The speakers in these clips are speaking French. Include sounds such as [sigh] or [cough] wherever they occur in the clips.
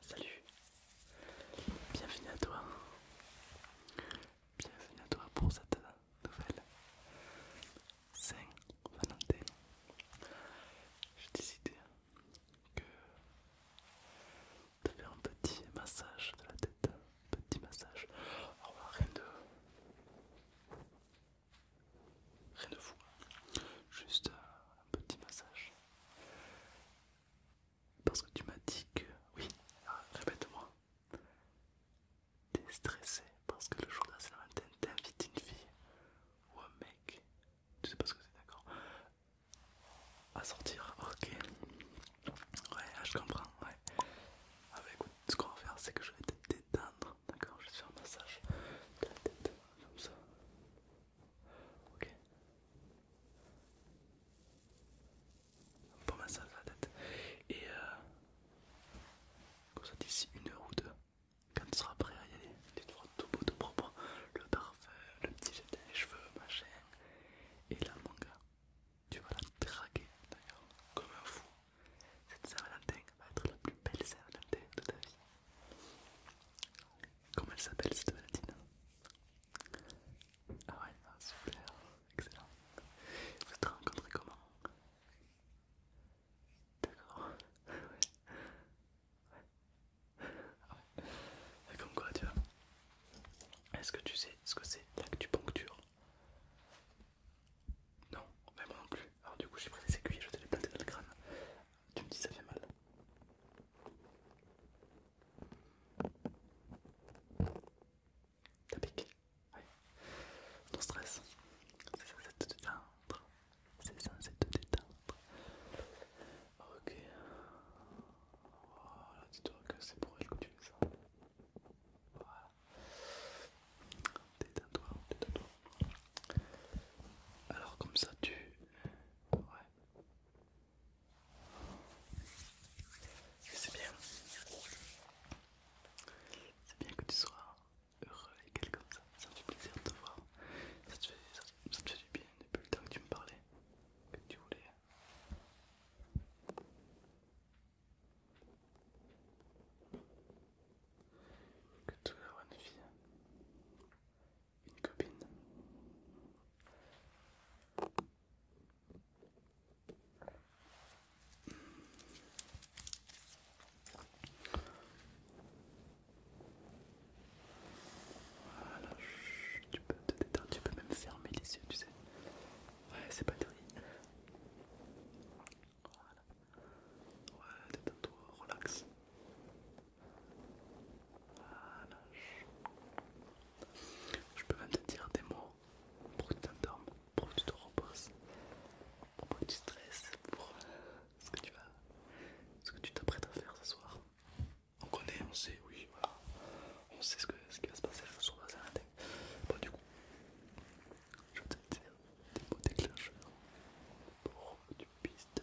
Salut, bienvenue à toi, bienvenue à toi pour cette nouvelle Saint-Valentin. J'ai décidé que de faire un petit massage de la tête, un petit massage. Alors rien de rien de fou, juste un petit massage parce que tu m'as dit que... Oui, ah, répète-moi. T'es stressé parce que le jour de la une fille ou un mec. Tu sais pas ce que c'est, d'accord À sortir, ok. Ouais, ah, je comprends, ouais. Ah bah, écoute, ce qu'on va faire, c'est que je vais te détendre, d'accord Je vais te faire un massage de la tête, comme ça. Ok. Pour ma salle la tête. Et euh, comme ça d'ici une heure ou deux, quand tu seras prêt à y aller, tu te feras tout beau, tout propre, le parfum, le petit jet des cheveux, machin. Et la manga tu vas la draguer d'ailleurs comme un fou. Cette Saint-Valentin va être la plus belle Saint-Valentin de ta vie. Comment elle s'appelle cette Valentine ah ouais, super, excellent. Vous êtes rencontré comment D'accord, ouais. ouais. Ah ouais. Comme quoi, tu vois. Est-ce que tu sais ce que c'est l'actupuncture Non, mais moi non plus. Alors, du coup, j'ai pris des aiguilles, je te les planté dans le crâne. Tu me dis, ça fait mal. T'as piqué Oui. Ton stress, c'est censé te détendre. C'est censé te détendre. Ok. Voilà, oh, dis-toi que c'est pour elle que tu fais ça. Voilà. Détends-toi, détends-toi. Alors comme ça tu... Ouais. C'est bien. C'est bien que tu sois heureux et quelque comme ça. Ça me fait plaisir de te voir. Ça te fait, fait du bien depuis le temps que tu me parlais. Que tu voulais. Que tu aies une fille une copine. Voilà, tu peux te détendre, tu peux même fermer les yeux, tu sais. Ouais, c'est pas terrible. Voilà. Ouais, détends-toi, relax. Je peux même te dire des mots pour que tu t'endormes, pour que tu te reposes, pour que tu stresses, pour euh, ce que tu vas, ce que tu t'apprêtes à faire ce soir. On connaît, on sait, oui, On sait ce, qui va se passer ce soir, c'est matin. Bon, du coup, je vais te dire des mots déclencheurs pour que tu puisses te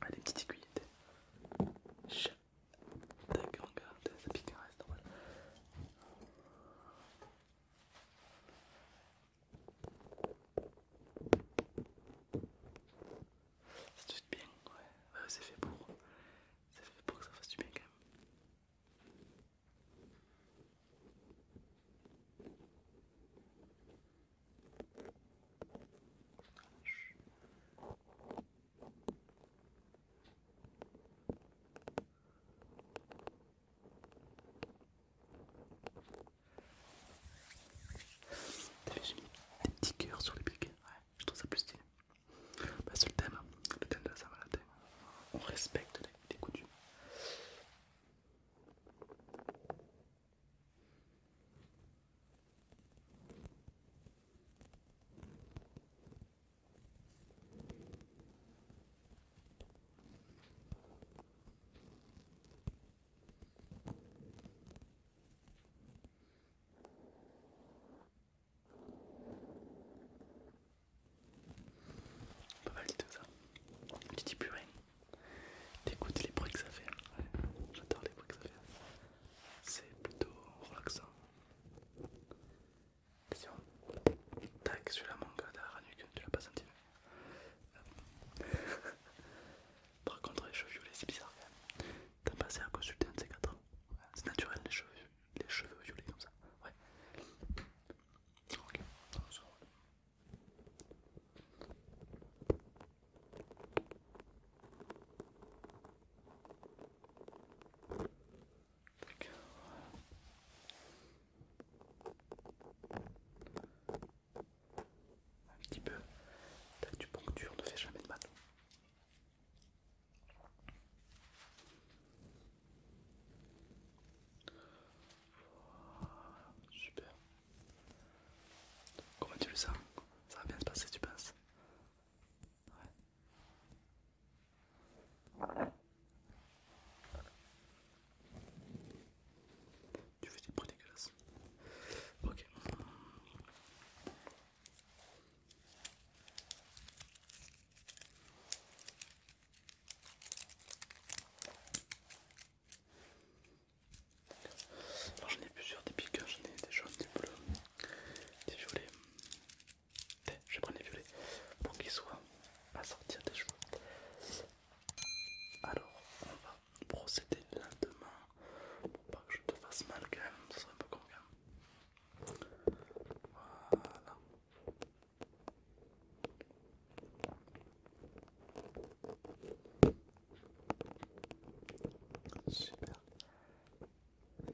Allez, ah, petite aiguille. Chut. Tac, regarde, ça pique un reste Ça bien, ouais, ouais c'est fait pour. C'est fait pour que ça fasse du bien quand même. T'as vu, j'ai mis des petits cœurs sur les piquets, ouais, je trouve ça plus stylé. c'est bah, le thème, le thème de la salle, thème. On respecte les coutumes. Pas mal de tout ça. Tu dis plus rien. T'écoutes les bruits que ça fait. J'adore les bruits que ça fait. C'est plutôt relaxant. Attention. Tac, celui-là manque de la nuque, tu l'as pas senti. Euh, [laughs] par contre, les cheveux violets, c'est bizarre T'as passé à consulter un de ces quatre. c'est naturel les cheveux, les violets comme ça. Ouais. Ok, un petit peu poncture ne fait jamais de mal. Oh, super. Comment tu le sens Ça va bien se passer, tu penses Ouais. Tu fais des bruits dégueulasses. Ok. Alors j'en ai plusieurs, des piquants, j'en ai des jaunes, des bleus, des violets. Je vais prendre les violets pour qu'ils soient assortis sortir des cheveux. Alors on va procéder lentement pour pas que je te fasse mal quand même, ce serait un peu con quand même. Voilà. Super,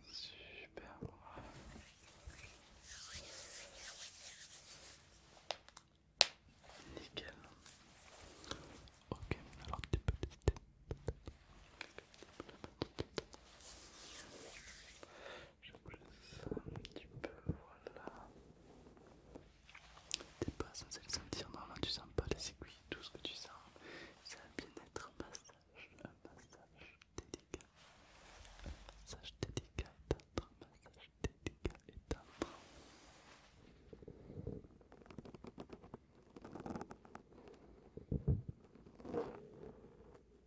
super Nickel. Ok, alors tu peux je presse ça un petit peu, voilà. T'es pas censé le sentir, normalement tu sens pas les aiguilles, tout ce que tu sens, c'est un bien-être, un massage, un massage délicat, un massage délicat et un massage délicat et tendre.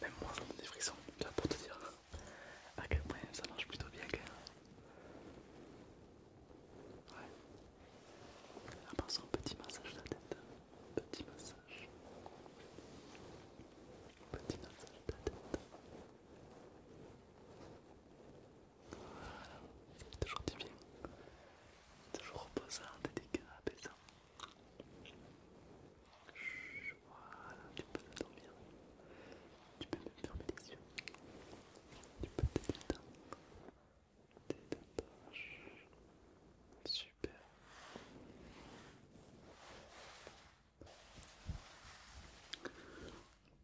Même moi, j'ai des frissons, as pour te dire à quel point ça marche plutôt bien. Ouais. En un petit massage de la tête. Petit massage. Petit massage de la tête. Voilà. toujours divin. toujours reposant, délicat, apaisant. Voilà, tu peux dormir. Tu peux même fermer les yeux. Tu peux détendre détache. Super.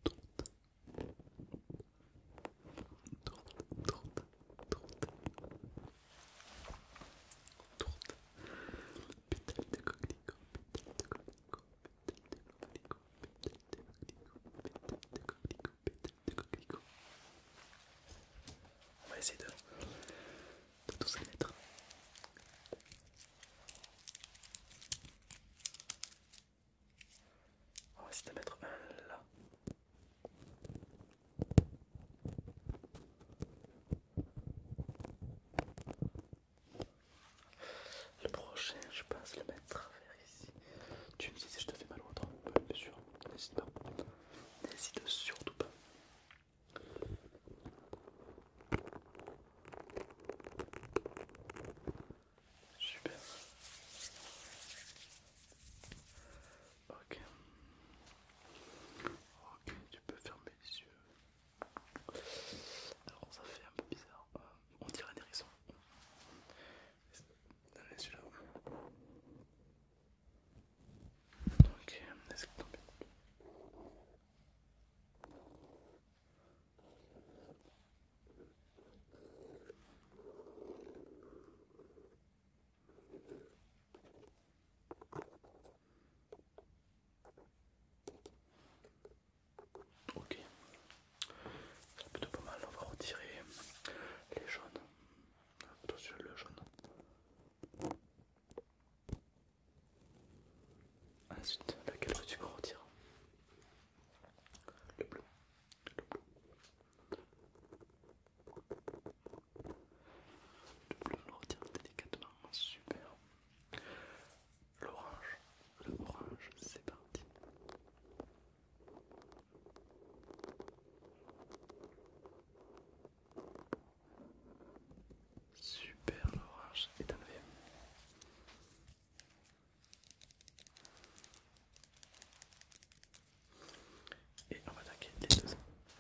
Tourte. Tourte, tourte, tourte. Tourte. Pétale de coquelicot, pétale de coquelicot, pétale de coquelicot, pétale de coquelicot, pétale de coquelicot de coquelicot. On va essayer de, tous les mettre. On va essayer de mettre un là. Le prochain, je pense le mettre à tu me dis si je te fais mal ou autre, bah, bien sûr, n'hésite pas. N'hésite surtout pas. Super. Ok. Ok, tu peux fermer les yeux. Alors ça fait un peu bizarre. Euh, on dirait des raisons Allez, celui-là. Euh, ok, tomber. Ok, c'est plutôt pas mal. On va retirer les jaunes. Attention, le jaune. Ensuite, lequel veux-tu qu'on retire Le bleu. Le bleu. Le bleu, on le retire délicatement. Super. L'orange. Le c'est parti. Super, l'orage est enlevé. Et on va attaquer les deux,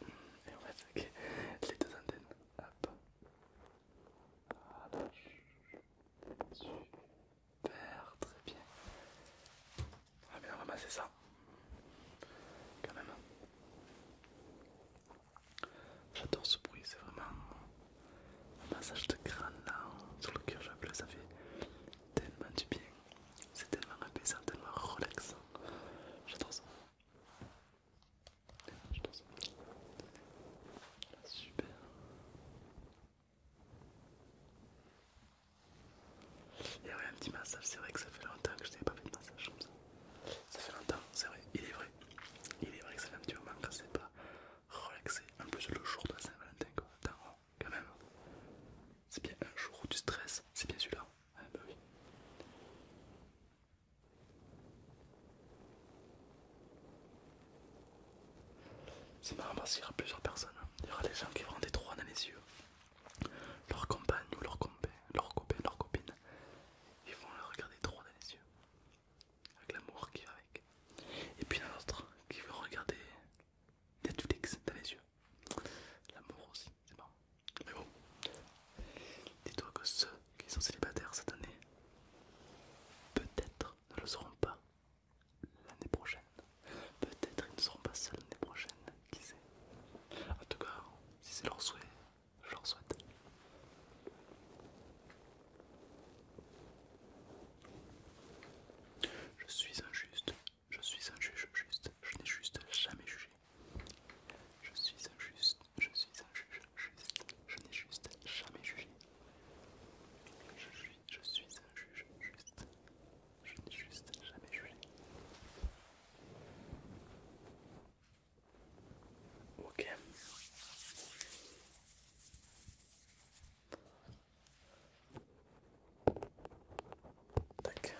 et on va attaquer les deux antennes. Hop. Super, très bien. Ah, on va bien ça. Quand même. J'adore ce bruit, c'est vraiment un massage de crâne là sur le cœur, bleu, ça fait tellement du bien. C'est tellement apaisant, tellement relaxant. J'adore ça. J'adore ça. Super. Et ouais, un petit massage, c'est vrai que ça fait longtemps que je n'avais pas fait de massage comme ça. Ça fait longtemps, c'est vrai, il est vrai. Il est vrai que ça fait un petit moment quand c'est pas relaxé. En plus, le jour de Saint-Valentin, oh, quand même. C'est bien un jour où tu stresses, c'est bien celui-là. Ah, bah c'est marrant parce qu'il y aura plusieurs personnes. Hein. Il y aura des gens qui vont des trois dans les yeux. Leur compagne ou leur copain, leur leur copine. Ils vont les regarder trop dans les yeux. Avec l'amour qui va avec. Et puis un autre qui va regarder Netflix dans les yeux. L'amour aussi, c'est marrant. Mais bon. Dis-toi que ceux qui sont célibataires cette année, peut-être ne le seront pas l'année prochaine. Peut-être ils ne seront pas seuls l'année prochaine, qui sait. En tout cas, si c'est leur souhait, je leur souhaite. Je suis injuste, je suis un juge juste, je n'ai juste jamais jugé. Je suis injuste, je suis un juge juste, je n'ai juste jamais jugé. Je suis, un juge juste. Je suis juste jamais jugé. Ok. Tac.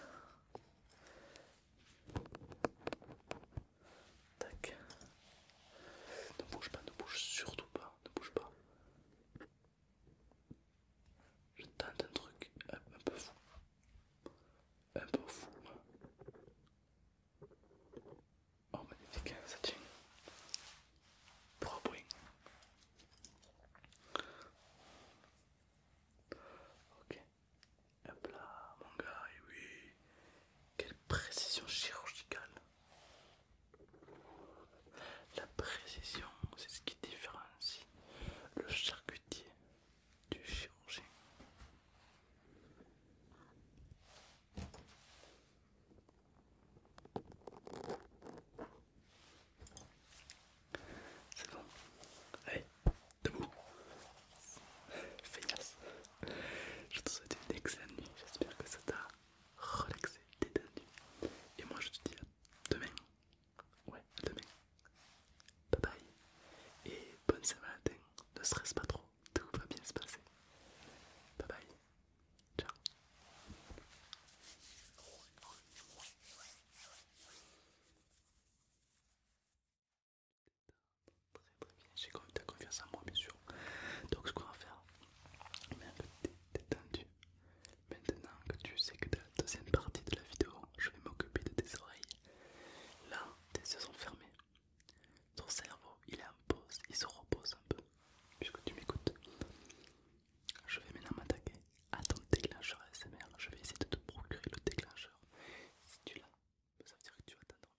Tac. Ne bouge pas, ne bouge surtout pas, ne bouge pas. Je tente un truc un, peu fou. Un peu fou. Oh magnifique, hein, ça tient. Ok. Hop là, mon gars, et oui. Quelle précision chirurgicale. La précision, c'est ce qui différencie le charcutier du chirurgien. C'est bon. Allez, debout. Feignasse. Je te souhaite une excellente nuit. J'espère que ça t'a relaxé, détendu. Et moi je te dis demain. Ouais, demain. Bye bye. Et bonne saint Ne stresse pas trop. Tout va bien se passer. Bye bye. Ciao très très bien. J'ai as confiance en moi, bien sûr. Donc, ce qu'on va faire, maintenant que tu es détendu, maintenant que tu sais que dans la deuxième partie de la vidéo, je vais m'occuper de tes oreilles. Là, tes yeux sont fermés. Ton cerveau, il est en pause, il se repose un peu, puisque tu m'écoutes. Je vais maintenant m'attaquer à ton déclencheur ASMR. Je vais essayer de te procurer le déclencheur. Si tu l'as, ça veut dire que tu vas t'endormir.